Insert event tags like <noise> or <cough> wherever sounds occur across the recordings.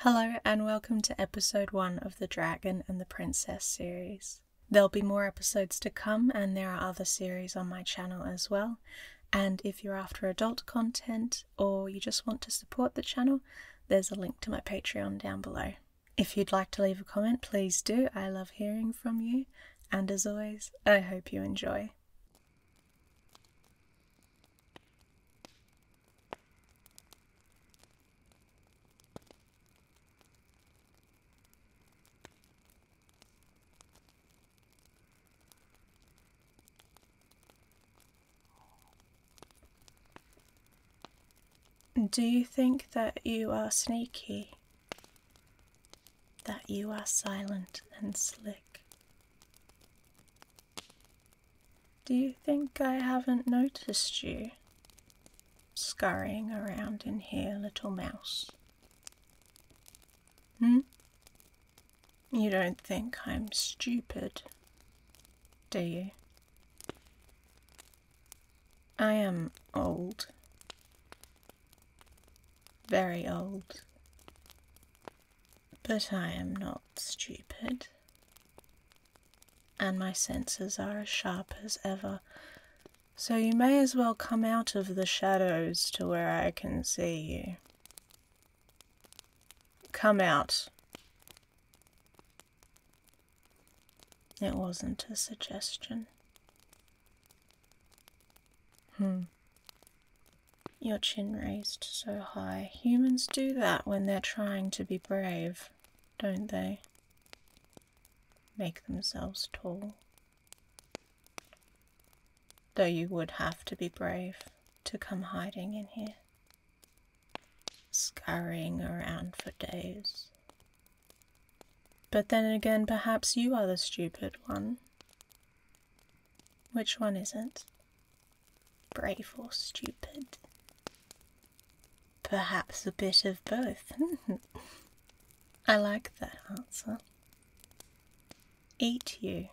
Hello, and welcome to episode 1 of the Dragon and the Princess series. There'll be more episodes to come, and there are other series on my channel as well. And if you're after adult content or you just want to support the channel, there's a link to my Patreon down below. If you'd like to leave a comment, please do. I love hearing from you. And as always, I hope you enjoy. Do you think that you are sneaky? That you are silent and slick? Do you think I haven't noticed you? Scurrying around in here, little mouse. Hmm? You don't think I'm stupid, do you? I am old. Very old. But I am not stupid, and my senses are as sharp as ever, so you may as well come out of the shadows to where I can see you. Come out. It wasn't a suggestion. Hmm your chin raised so high. Humans do that when they're trying to be brave, don't they? Make themselves tall. Though you would have to be brave to come hiding in here. Scurrying around for days. But then again, perhaps you are the stupid one. Which one isn't? Brave or stupid? Perhaps a bit of both. <laughs> I like that answer. Eat you.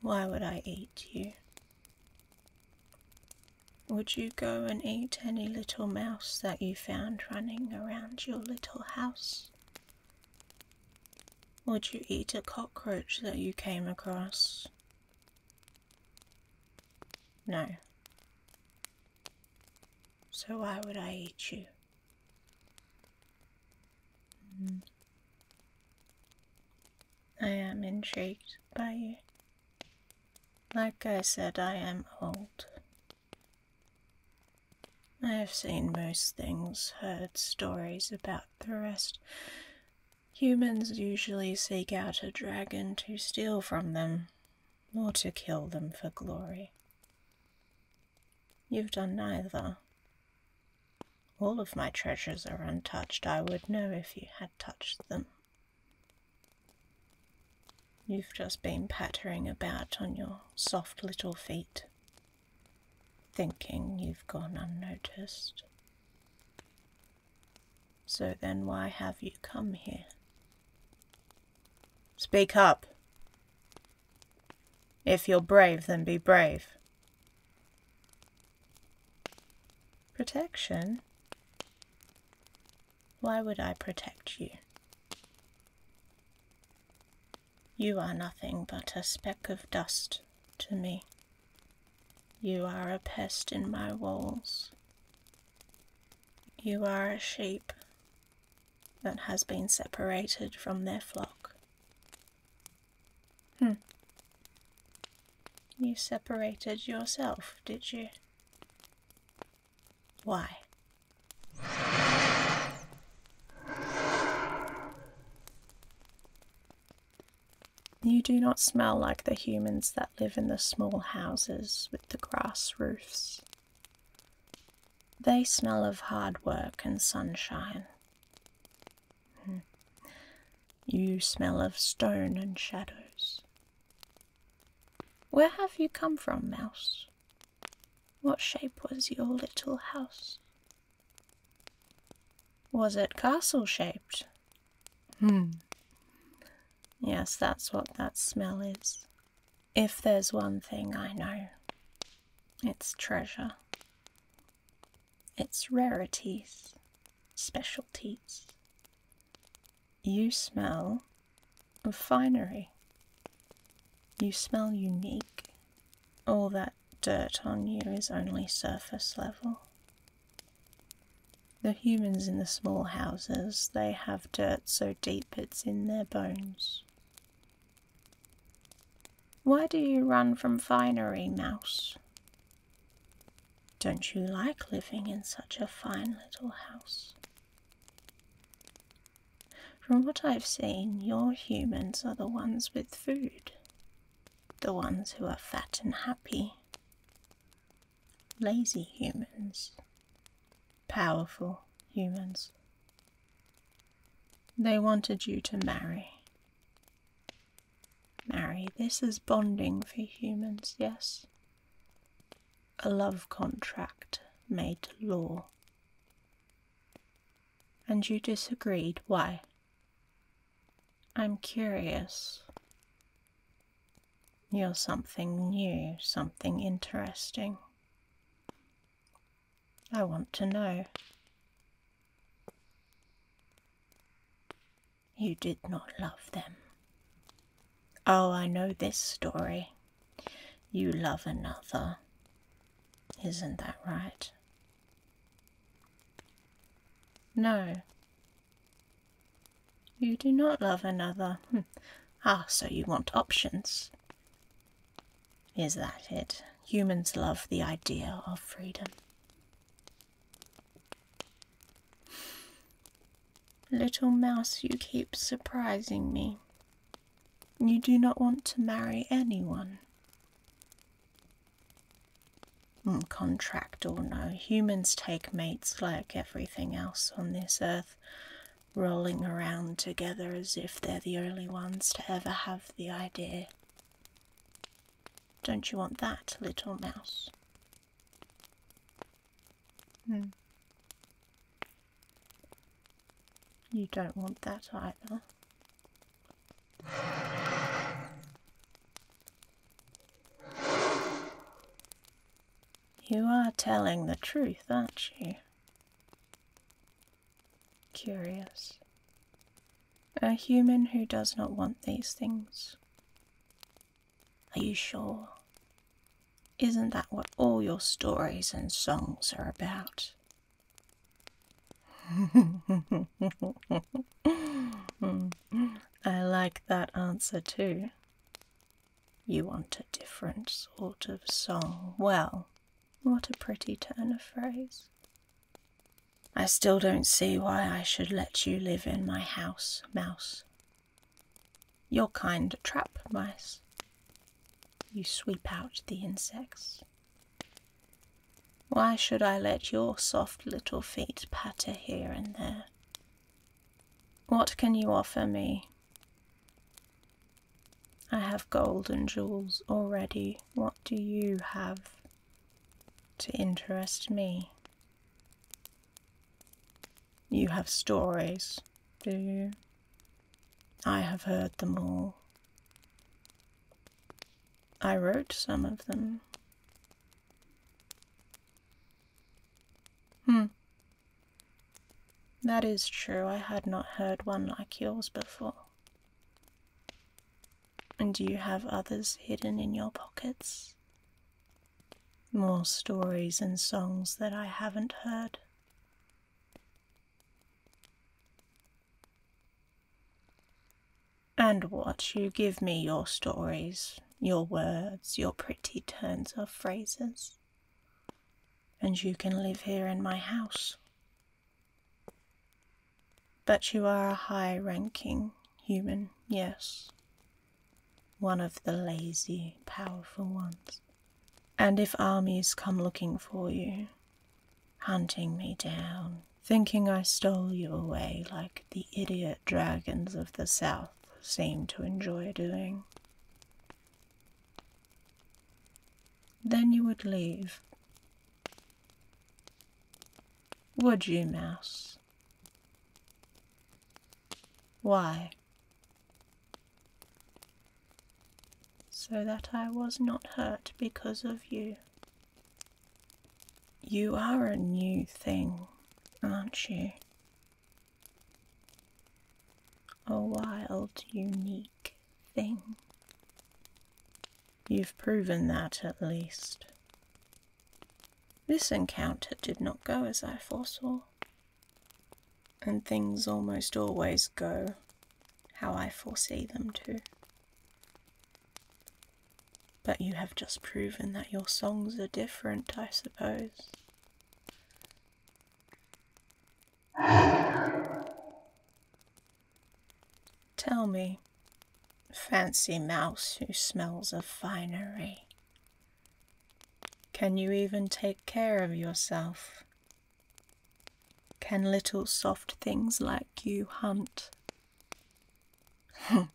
Why would I eat you? Would you go and eat any little mouse that you found running around your little house? Would you eat a cockroach that you came across? No. So why would I eat you? Hmm. I am intrigued by you. Like I said, I am old. I have seen most things, heard stories about the rest. Humans usually seek out a dragon to steal from them, or to kill them for glory. You've done neither. All of my treasures are untouched. I would know if you had touched them. You've just been pattering about on your soft little feet, thinking you've gone unnoticed. So then why have you come here? Speak up. If you're brave, then be brave. Protection? Why would I protect you? You are nothing but a speck of dust to me. You are a pest in my walls. You are a sheep that has been separated from their flock. Hmm. You separated yourself, did you? Why? You do not smell like the humans that live in the small houses with the grass roofs. They smell of hard work and sunshine. Hmm. You smell of stone and shadows. Where have you come from, Mouse? What shape was your little house? Was it castle shaped? Hmm. Yes, that's what that smell is. If there's one thing I know, it's treasure. It's rarities, specialties. You smell of finery. You smell unique. All that dirt on you is only surface level. The humans in the small houses, they have dirt so deep it's in their bones. Why do you run from finery, mouse? Don't you like living in such a fine little house? From what I've seen, your humans are the ones with food, the ones who are fat and happy. Lazy humans, powerful humans. They wanted you to marry. Marry, this is bonding for humans, yes? A love contract made law. And you disagreed. Why? I'm curious. You're something new, something interesting. I want to know. You did not love them. Oh, I know this story. You love another. Isn't that right? No. You do not love another. Hmm. ah, so you want options. Is that it? Humans love the idea of freedom. Little mouse, you keep surprising me. You do not want to marry anyone. Hmm, contract or no, humans take mates like everything else on this earth, rolling around together as if they're the only ones to ever have the idea. Don't you want that, little mouse? Hmm. You don't want that either. You are telling the truth, aren't you? Curious. A human who does not want these things. Are you sure? Isn't that what all your stories and songs are about? <laughs> I like that answer too. You want a different sort of song. Well, what a pretty turn of phrase. I still don't see why I should let you live in my house, Mouse. Your kind trap mice. You sweep out the insects. Why should I let your soft little feet patter here and there? What can you offer me? I have gold and jewels already. What do you have to interest me? You have stories, do you? I have heard them all. I wrote some of them. Hmm. That is true, I had not heard one like yours before. And do you have others hidden in your pockets? More stories and songs that I haven't heard. And what? You give me your stories, your words, your pretty turns of phrases. And you can live here in my house. But you are a high ranking human, yes, one of the lazy, powerful ones. And if armies come looking for you, hunting me down, thinking I stole you away like the idiot dragons of the south seem to enjoy doing, then you would leave. Would you, Mouse? Why? So that I was not hurt because of you. You are a new thing, aren't you? A wild, unique thing. You've proven that at least. This encounter did not go as I foresaw and things almost always go how I foresee them to. But you have just proven that your songs are different, I suppose. Tell me, fancy mouse who smells of finery, can you even take care of yourself? Can little soft things like you hunt? <laughs>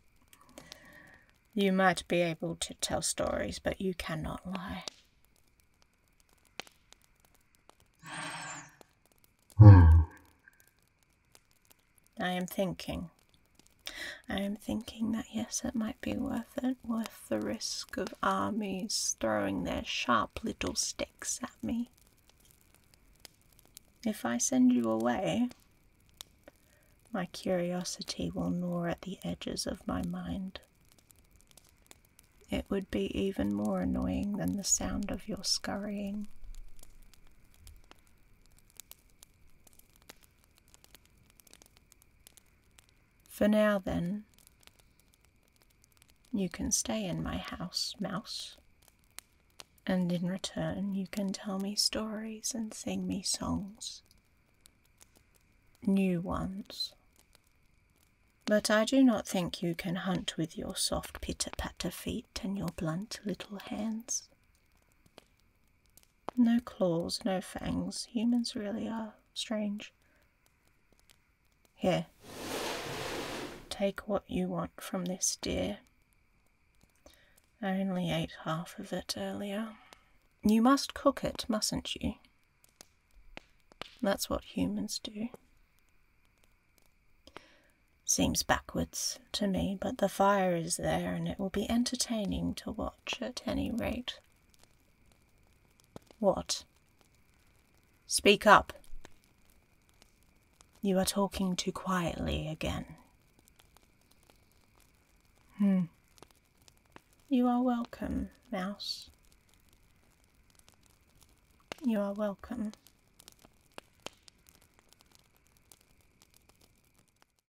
you might be able to tell stories, but you cannot lie. Hmm. I am thinking I'm thinking that yes, it might be worth it, worth the risk of armies throwing their sharp little sticks at me. If I send you away, my curiosity will gnaw at the edges of my mind. It would be even more annoying than the sound of your scurrying. For now, then, you can stay in my house, mouse, and in return, you can tell me stories and sing me songs. New ones. But I do not think you can hunt with your soft pitter patter feet and your blunt little hands. No claws, no fangs. Humans really are strange. Here. Take what you want from this deer. I only ate half of it earlier. You must cook it, mustn't you? That's what humans do. Seems backwards to me, but the fire is there and it will be entertaining to watch at any rate. What? Speak up. You are talking too quietly again. Hmm. You are welcome, Mouse. You are welcome.